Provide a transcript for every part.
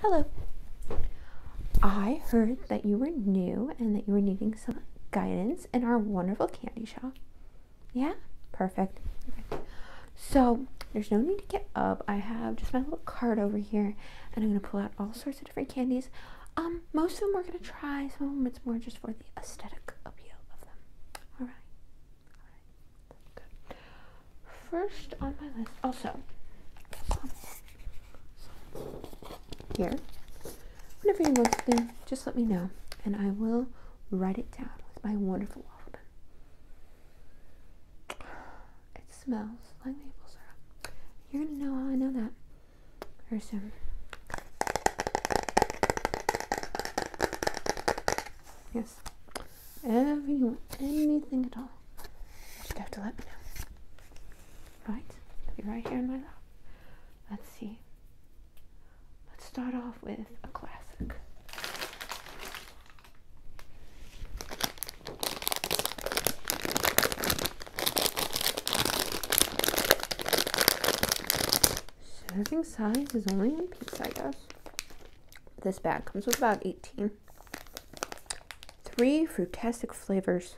Hello. I heard that you were new and that you were needing some guidance in our wonderful candy shop. Yeah? Perfect. So, there's no need to get up. I have just my little card over here and I'm going to pull out all sorts of different candies. Um, most of them we're going to try. Some of them it's more just for the aesthetic appeal of them. All right first on my list. Also, here, Whatever you're listening, just let me know and I will write it down with my wonderful waffle It smells like maple syrup. You're gonna know how I know that very soon. Yes. Whatever want, anything at all. You just have to let me know. Right? be right here in my lap. Let's see. Let's start off with a classic. Serving size is only one piece, I guess. This bag comes with about 18 Three frutastic flavors.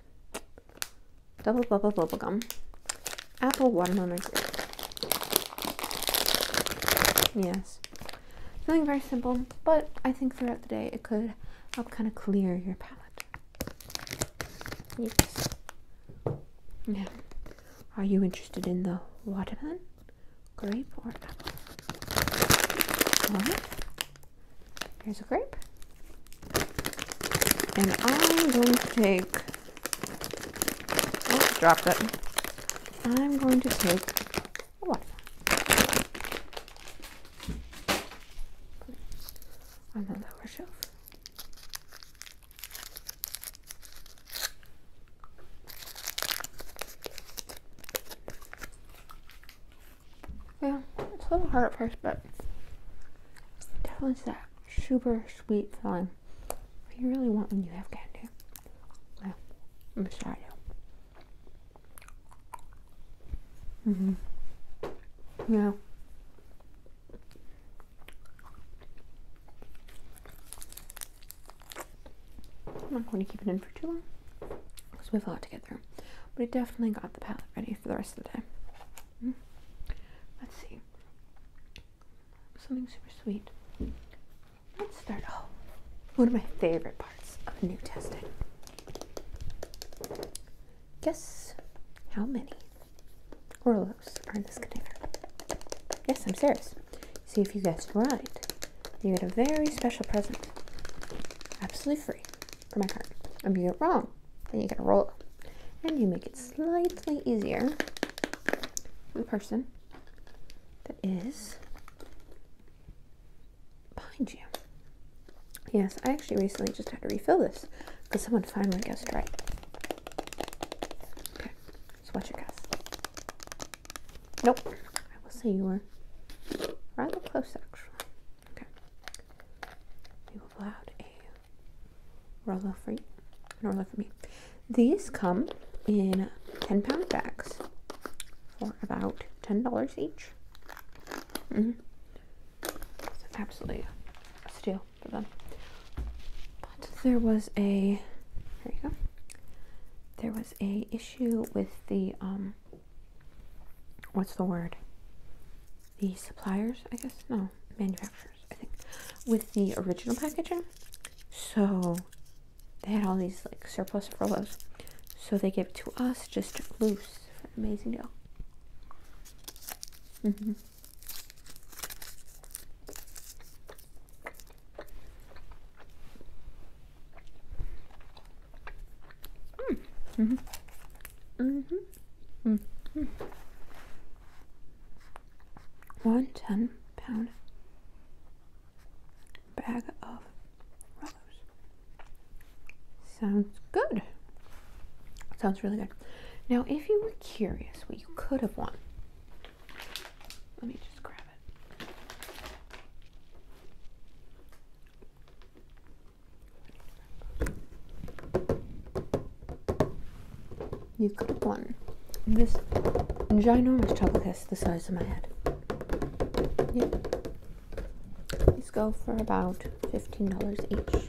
Double bubble bubble gum. Apple, watermelon, grape. Yes. something very simple, but I think throughout the day it could help kind of clear your palate. Yes. Now, are you interested in the watermelon? grape or apple? here's a grape. And I'm going to take, oh, dropped it. I'm going to take a watermelon. On the lower shelf. Yeah, it's a little hard at first, but definitely that super sweet feeling you really want when you have candy. Well, I'm sorry. Mm-hmm. Yeah. I'm not going to keep it in for too long because we have a lot to get through. But I definitely got the palette ready for the rest of the day. Hmm. Let's see. Something super sweet. Let's start off. Oh, one of my favorite parts of new testing. Guess how many Orlos are in this container? Yes, I'm serious. See if you guessed right. You get a very special present, absolutely free, for my card. If you get it wrong, then you gotta roll And you make it slightly easier for the person that is behind you. Yes, I actually recently just had to refill this because someone finally guessed right. Okay, so what's your guess? Nope. I will say you were rather close, actually. Okay. We will pull a Rolo for you, an for me. These come in 10 pound bags for about $10 each. Mm-hmm. absolutely a steal for them. But there was a, there there was a issue with the um, what's the word? The suppliers, I guess? No, manufacturers, I think, with the original packaging. So they had all these like surplus furloughs. So they give to us just loose amazing deal. Mm -hmm. Mm. Mm-hmm. Mm-hmm. Mm -hmm. One hmm pound bag of rose. Sounds good. Sounds really good. Now, if you were curious what you could have won, let me just grab it. You could have won this ginormous chocolate kiss the size of my head. Yep. These go for about $15 each.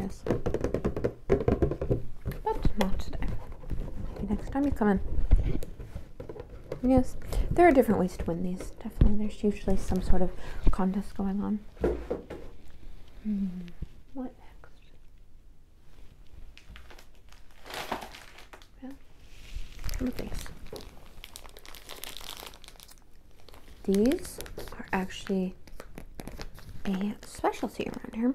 Yes. But not today. Maybe next time you come in. Yes, there are different ways to win these. Definitely, there's usually some sort of contest going on. Hmm. What next? Yeah. Some things. These are actually a specialty around here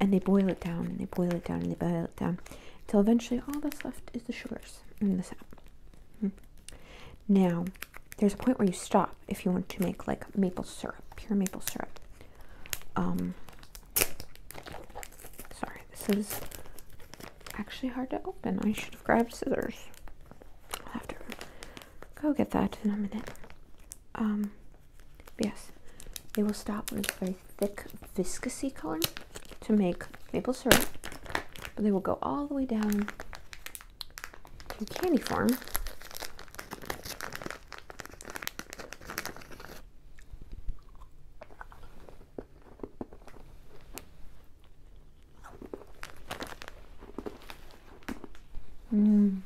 and they boil it down and they boil it down and they boil it down until eventually all that's left is the sugars in the sap. Hmm. Now, there's a point where you stop if you want to make like maple syrup, pure maple syrup. Um, sorry, this is actually hard to open. I should have grabbed scissors. I'll have to go get that in a minute. Um, yes, they will stop when it's very thick viscousy color to make maple syrup. But they will go all the way down in candy form. Mm.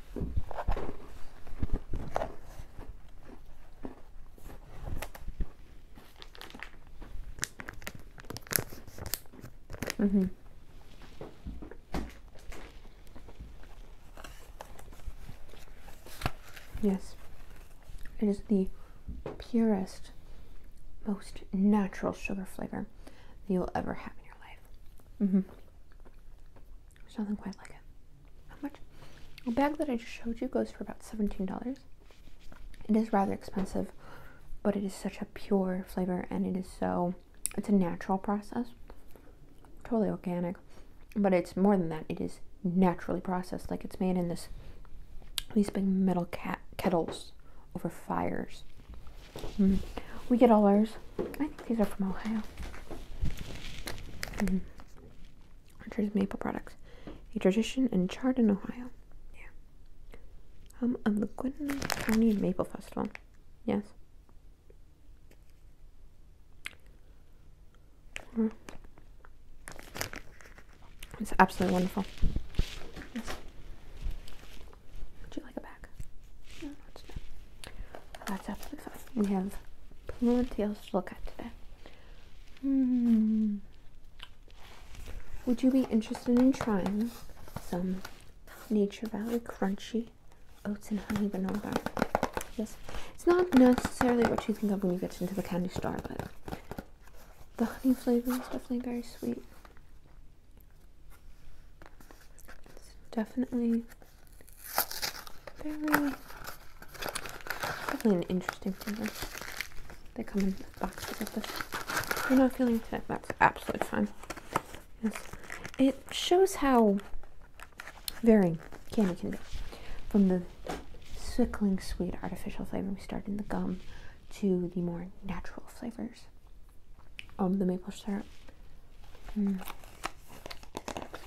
Mm-hmm. Yes. It is the purest, most natural sugar flavor that you'll ever have in your life. Mm-hmm. There's nothing quite like it how much? A bag that I just showed you goes for about $17. It is rather expensive, but it is such a pure flavor and it is so, it's a natural process. Totally organic, but it's more than that. It is naturally processed. Like it's made in this, these big metal kettles over fires. Mm. We get all ours. I think these are from Ohio. Mm-hmm. Richard's Maple Products, a tradition in Chardon, Ohio. Yeah. Home of the Gwin County Maple Festival. Yes. It's absolutely wonderful. Would you like a bag? that's That's absolutely fine. We have plenty else to look at today. Hmm. Would you be interested in trying some Nature Valley Crunchy Oats and Honey Vanilla Bar? Yes. It's not necessarily what you think of when you get into the candy store, but the honey flavor is definitely very sweet. It's definitely very Definitely an interesting flavor. They come in boxes of this. you're not feeling it, that's absolutely fine. Yes. It shows how varying candy can be. From the sickling sweet artificial flavor we start in the gum to the more natural flavors of the maple syrup mm.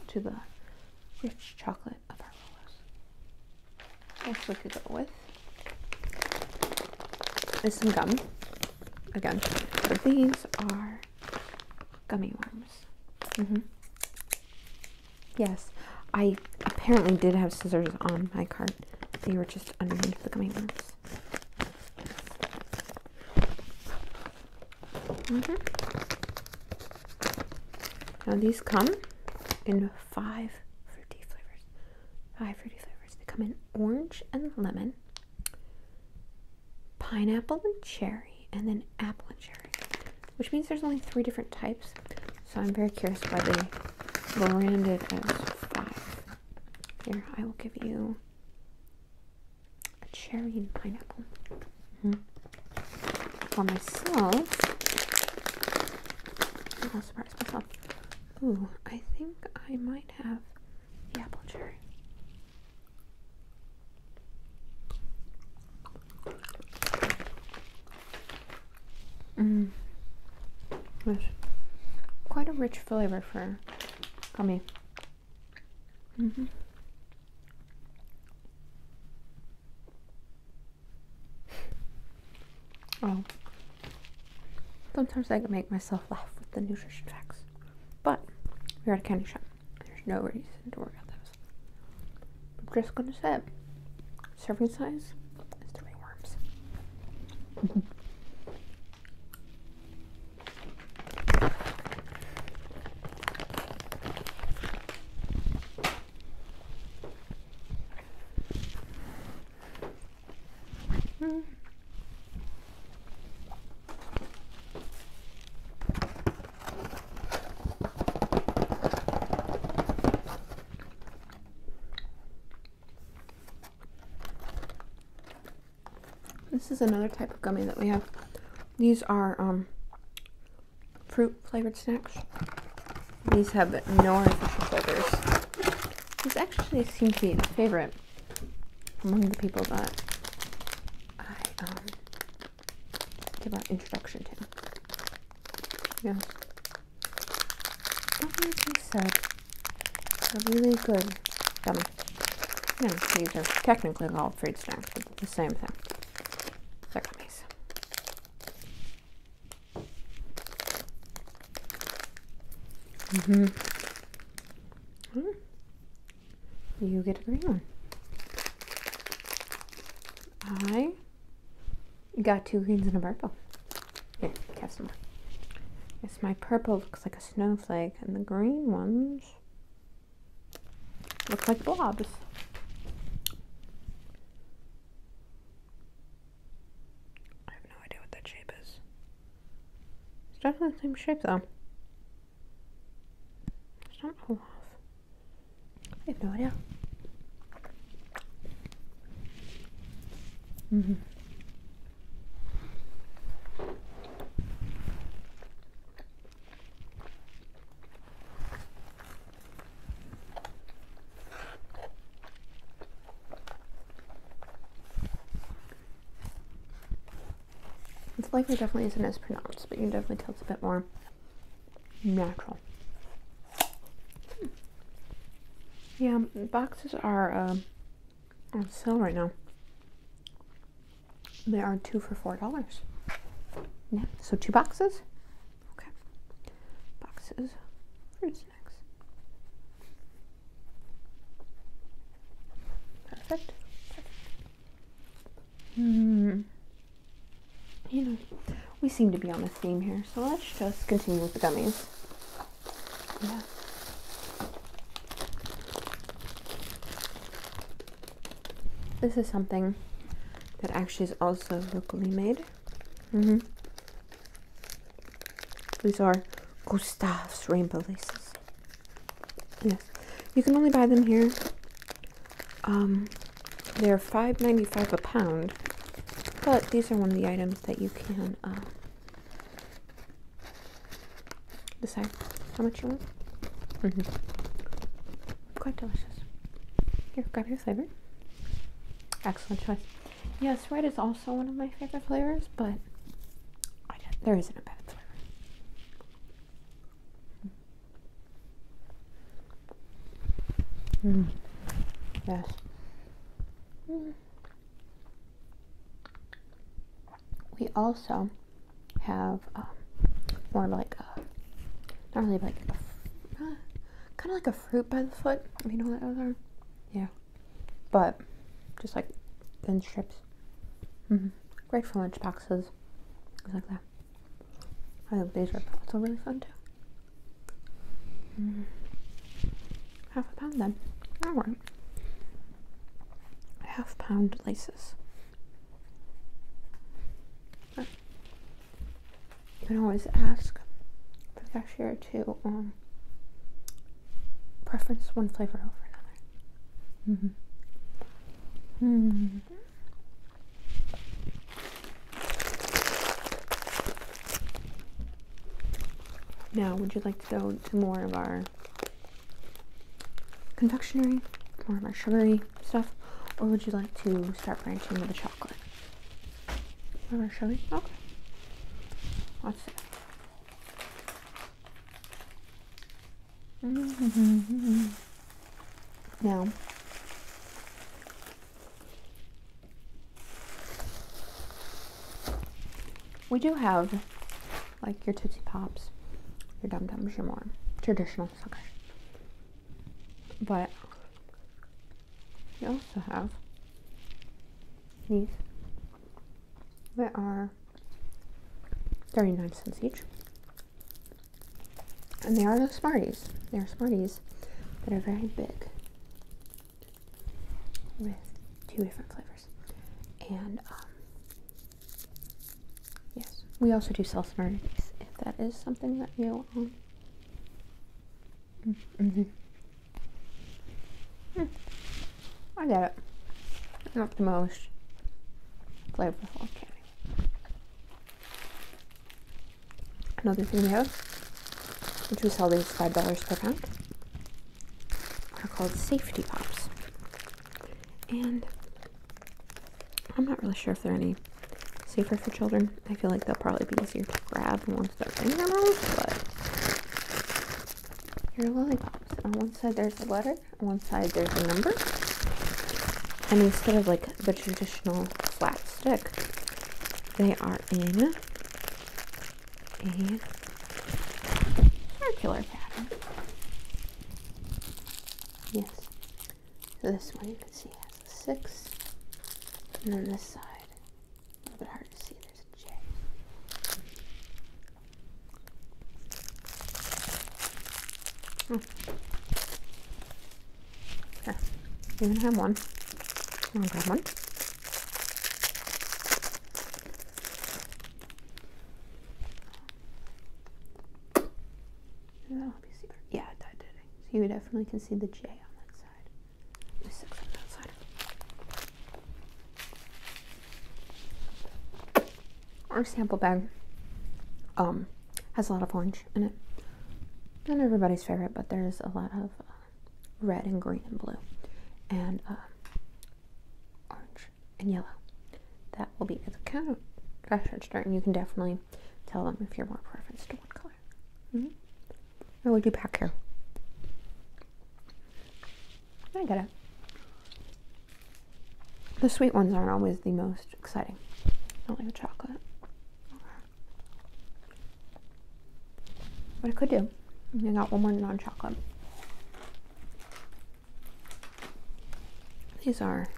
to the rich chocolate palette of our rollers. Next could go with There's some gum. Again, these are gummy worms. Mm -hmm. Yes, I apparently did have scissors on my cart. They were just underneath the gummy worms. -hmm. Now these come in five fruity flavors. Five fruity flavors. They come in orange and lemon, pineapple and cherry, and then apple and cherry. Which means there's only three different types. So I'm very curious why they branded as five. Here, I will give you a cherry and pineapple. Mm-hmm for myself. I'll surprise myself. Ooh, I think I might have the apple cherry. Mmm. Quite a rich flavor for gummy. Mm-hmm. Oh, sometimes I can make myself laugh with the nutrition facts, but we're at a candy shop. There's no reason to worry about those. I'm just gonna say, serving size is three worms. Mm -hmm. This is another type of gummy that we have. These are um, fruit flavored snacks. These have no artificial flavors. These actually seem to be a favorite among the people that I um, give an introduction to. Yeah. That makes me sad. They're really good Yeah, these are technically all fruit snacks, but the same thing. They're gummies. Mm hmm. You get a green one. I got two greens and a purple. Yeah, have some Yes, my purple looks like a snowflake, and the green ones look like blobs. I have no idea what that shape is. It's definitely the same shape though. It's not Olaf. I have no idea. Mm hmm it's likely definitely isn't as pronounced, but you can definitely tell it's a bit more natural. Yeah, boxes are um, on sale right now. They are two for four dollars. Yeah, so two boxes, Okay. Boxes. Fruit snacks. Perfect. Hmm. You know, we seem to be on a theme here, so let's just continue with the gummies. Yeah. This is something that actually is also locally made. Mm-hmm. These are Gustav's rainbow laces. Yes. You can only buy them here. Um, they're five ninety five a pound. But these are one of the items that you can uh, decide how much you want. Mm -hmm. Quite delicious. Here, grab your flavor. Excellent choice. Yes, red is also one of my favorite flavors, but there isn't a bad flavor. Hmm. Yes. Hmm. We also have um, more like a, not really like a, kind of like a fruit by the foot. You know what those are? Yeah. But just like thin strips. Mm-hmm. Great for lunch boxes. like that. I think these are also really fun too. Mm-hmm. Half a pound then. Alright. Half pound laces. You can always ask the cashier to um, preference one flavor over another. Mm-hmm. mm-hmm. Now, would you like to go to more of our confectionery, more of our sugary stuff, or would you like to start branching with the chocolate? Remember, shall we? Okay. What's it? now, we do have like your Tootsie Pops, your Dum Dums, your more traditional suckers but we also have these that are 39 cents each and they are the smarties they are smarties that are very big with two different flavors and um, yes we also do sell smarties if that is something that you um, -hmm. I get it. Not the most flavorful candy. Another thing we have, which we sell these five dollars per pound, are called safety pops. And I'm not really sure if there are any safer for children. I feel like they'll probably be easier to grab once they're in their mouths. but here are lollipops. On one side there's a letter, on one side there's a number. And instead of like the traditional flat stick, they are in a circular pattern. Yes. So this one you can see has six. And then this side. A little bit hard to see, there's a J. Okay. Hmm. even have one. I'm gonna grab one. Yeah, that did So you definitely can see the J on that side. Our sample bag um, has a lot of orange in it. Not everybody's favorite, but there's a lot of uh, red and green and blue and uh, orange and yellow. That will be the kind of fashion start, and you can definitely tell them if you're more preference to one color before? would you pack here? I got it. The sweet ones aren't always the most exciting. I don't like the chocolate. but I could do, I got one more non-chocolate. These are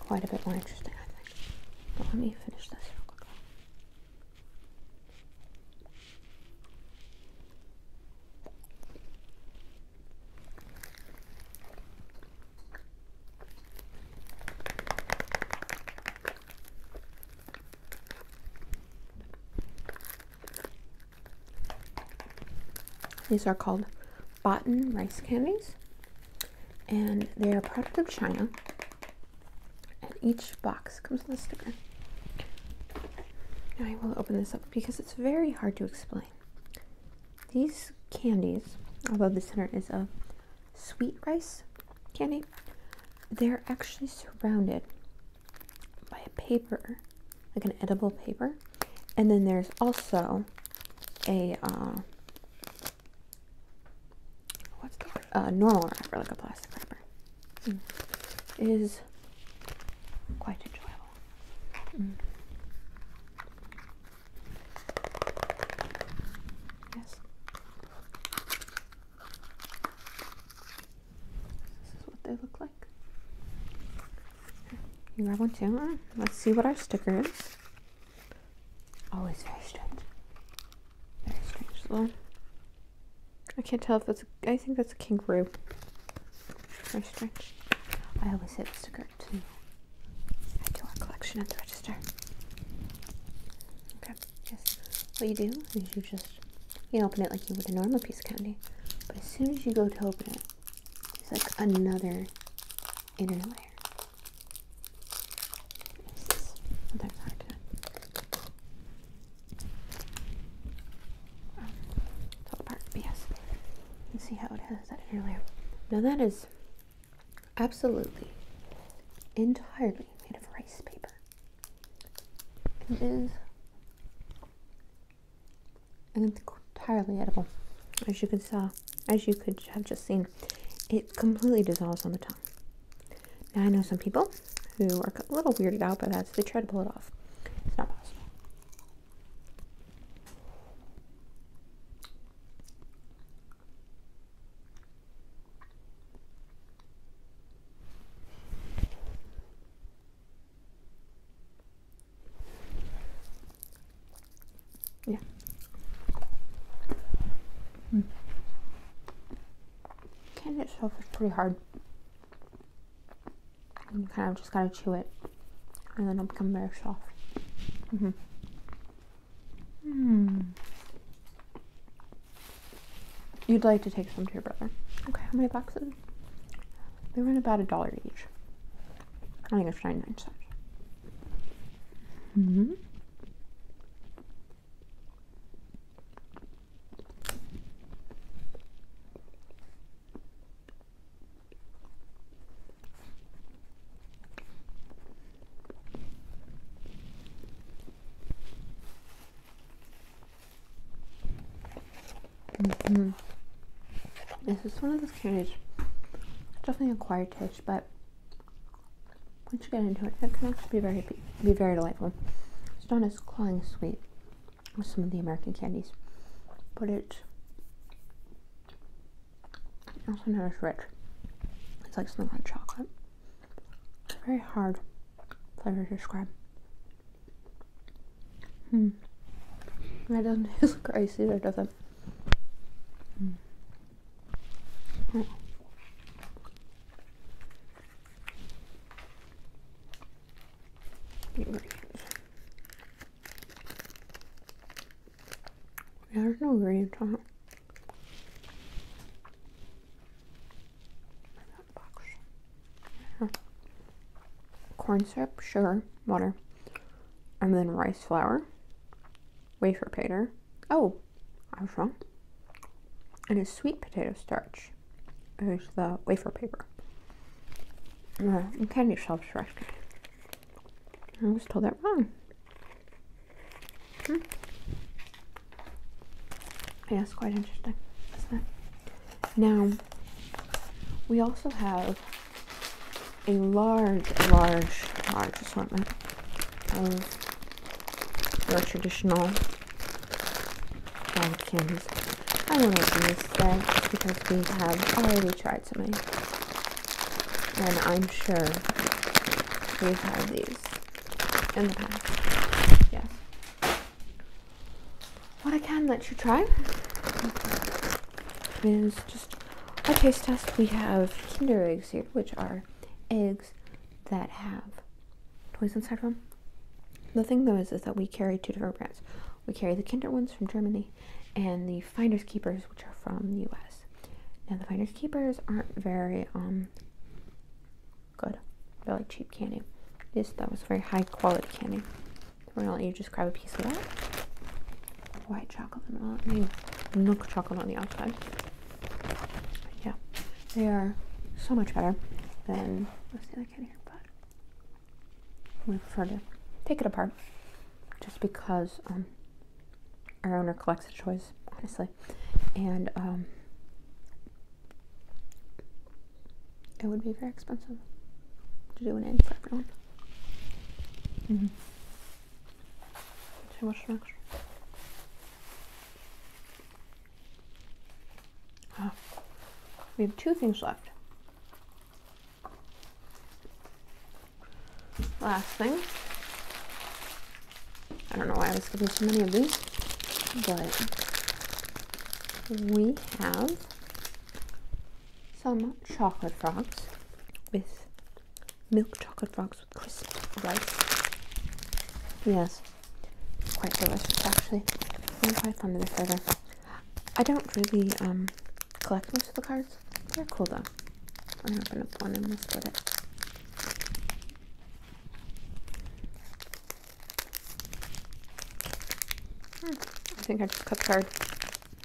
quite a bit more interesting, I think. let me finish this real quick. These are called Botan rice candies, and they are a product of China and each box comes with a sticker. I will open this up because it's very hard to explain. These candies, although the center is a sweet rice candy, they're actually surrounded by a paper, like an edible paper. And then there's also a uh, what's uh, normal wrapper, like a plastic wrapper, hmm. is quite enjoyable. Hmm. Yes. This is what they look like. You grab one too. Let's see what our sticker is. Always very strange. Very strange I can't tell if that's. A, I think that's a kangaroo. Very strange. I always hit sticker to I do our collection at the register. Okay. Yes. What you do is you just you open it like you would a normal piece of candy, but as soon as you go to open it, it's like another inner layer. This other side. Um, top part, but yes, you see how it is. that inner Now that is absolutely, entirely made of rice paper. It is entirely edible, as you could saw, as you could have just seen. It completely dissolves on the tongue. Now I know some people who are a little weirded out by that, they try to pull it off. It's not possible. Yeah, Mm. Candy itself is pretty hard. And you kind of just gotta chew it, and then it'll become very soft. Mm hmm mm. You'd like to take some to your brother. Okay, how many boxes? They run about a dollar each. I think it's 99 cents. Mm hmm Mm-hmm. This is one of those candies. definitely acquired taste, but once you get into it, it can actually be very be very delightful. It's not as cloying, sweet as some of the American candies, but it's also not as rich. It's like something like chocolate. It's very hard flavor to describe. Hmm. And it doesn't taste like ice does not Mm. Yeah, there's no ingredients on it. Box. Corn syrup, sugar, water, and then rice flour, wafer paper. Oh, I Хорошо. And It is sweet potato starch is the wafer paper. Uh, and candy shells right? candy. I was told that wrong. Hmm. Yeah, it's quite interesting, isn't it? Now, we also have a large, large, large assortment of your traditional pumpkins. I won't open this today because we have already tried so And I'm sure we've had these in the past. Yes. What I can let you try is just a taste test. We have Kinder eggs here, which are eggs that have toys inside of them. The thing though is, is that we carry two different brands. We carry the Kinder ones from Germany and the Finders Keepers, which are from the US. Now the Finders Keepers aren't very um good. They're like cheap candy. This that was very high quality candy. We're gonna let you just grab a piece of that. White chocolate milk, I mean milk chocolate on the outside. Yeah, they are so much better than what's the other can here, but we prefer to take it apart just because um, our owner collects the toys, honestly. And um, it would be very expensive to do an end for everyone. Mm-hmm we have two things left. Last thing. I don't know why I was giving so many of these, but we have some chocolate frogs with milk chocolate frogs crisp rice. Yes, quite delicious actually. i quite fond of this either. I don't really um, collect most of the cards. They're cool though. I'm going one and we'll split it. Hmm. I think I just cut the card.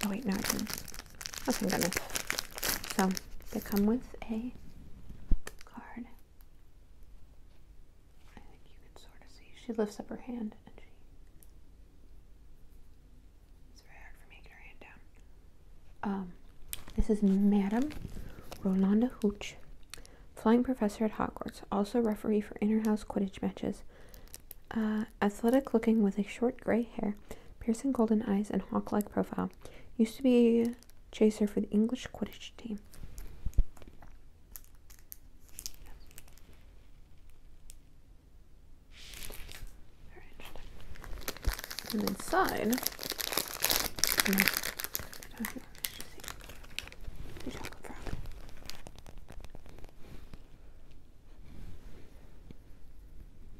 Oh wait, no, I didn't. Oh, thank goodness. So, they come with a card. I think you can sort of see. She lifts up her hand and she. It's very hard for me to get her hand down. Um, this is Madame Rolanda Hooch, flying professor at Hogwarts, also referee for inter-house Quidditch matches. Uh, athletic looking with a short gray hair, piercing golden eyes, and hawk like profile. Used to be chaser for the English Quidditch team. And inside,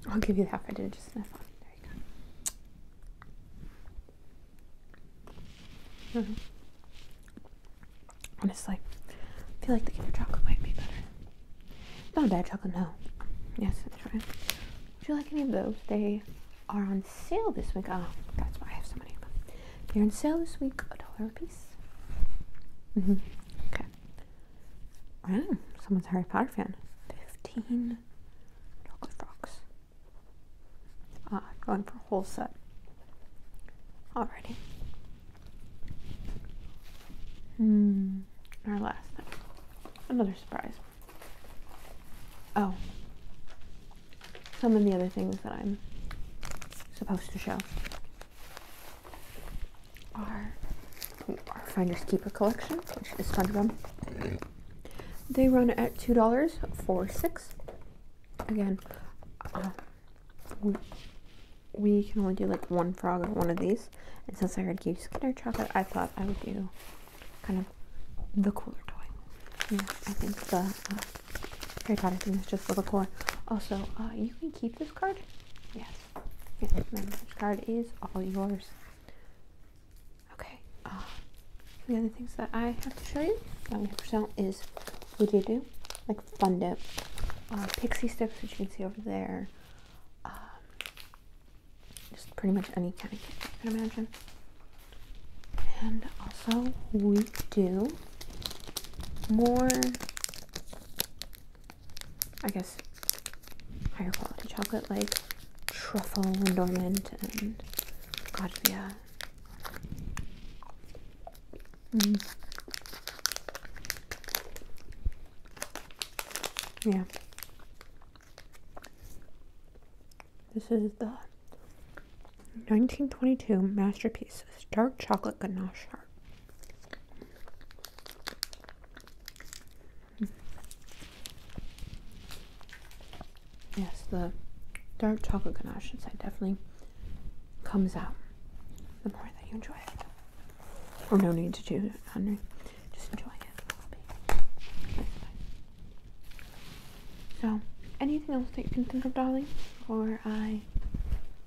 I'll give you half. I did just sniff on. There you go. Mm -hmm. Honestly, I feel like the Kinder chocolate might be better. Not a bad chocolate, no. Yes, that's right. Would you like any of those? They are on sale this week. Oh, that's why I have so many of them. They're on sale this week, a dollar a piece. Mm-hmm. Mm -hmm. Okay. Wow, someone's a Harry Potter fan. Fifteen chocolate frogs. Uh, ah, going for a whole set. Alrighty. Hmm. Our last Another surprise. Oh. Some of the other things that I'm supposed to show are our Finders Keeper collection, which is fun them. They run at $2 for six. Again, uh, we, can only do like one frog of one of these. And since I already gave Skinner chocolate, I thought I would do kind of the cooler toy. Yeah, I think the Harry Potter thing is just a little cooler. Also, uh, you can keep this card. Yes. Yes, yeah, this card is all yours. Okay, uh, the other things that I have to show you um, for sale is what do you do? Like fun dip, uh, pixie sticks, which you can see over there. Um, just pretty much any kind of cake you can imagine. And also, we do more, I guess, higher quality chocolate like truffle and almond and Godfia. Mm. Yeah. This is the 1922 masterpiece dark chocolate ganache yes, the dark chocolate ganache inside definitely comes out the more that you enjoy it. Or no need to choose it, Just enjoy it. So, anything else that you can think of, darling? Or I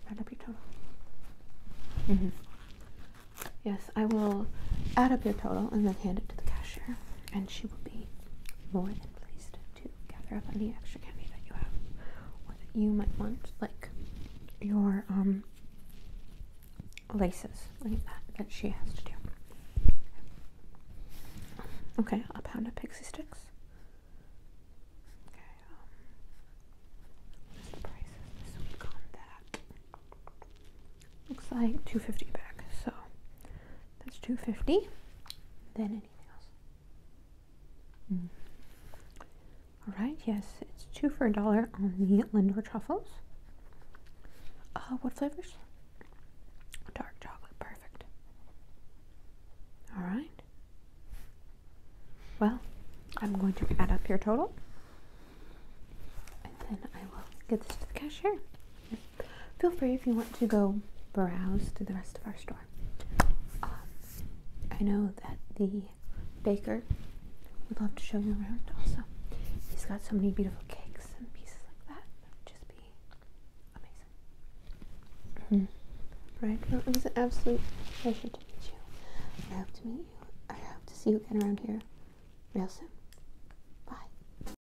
add up your total. Mm-hmm. Yes, I will add up your total and then hand it to the cashier and she will be more than pleased to gather up any extra candy that you have or that you might want, like your um laces like that that she has to do. Okay, a pound of pixie sticks. Okay, um, looks like 250 back so that's 250 then anything else mm. all right yes it's two for a dollar on the lindor truffles uh, what flavors dark chocolate perfect all right well i'm going to add up your total and then i will get this to the cashier feel free if you want to go browse through the rest of our store. Um, I know that the baker would love to show you around also. He's got so many beautiful cakes and pieces like that. That would just be amazing. Hmm. Right? Well, it was an absolute pleasure to meet you. I hope to meet you. I hope to see you again around here real soon.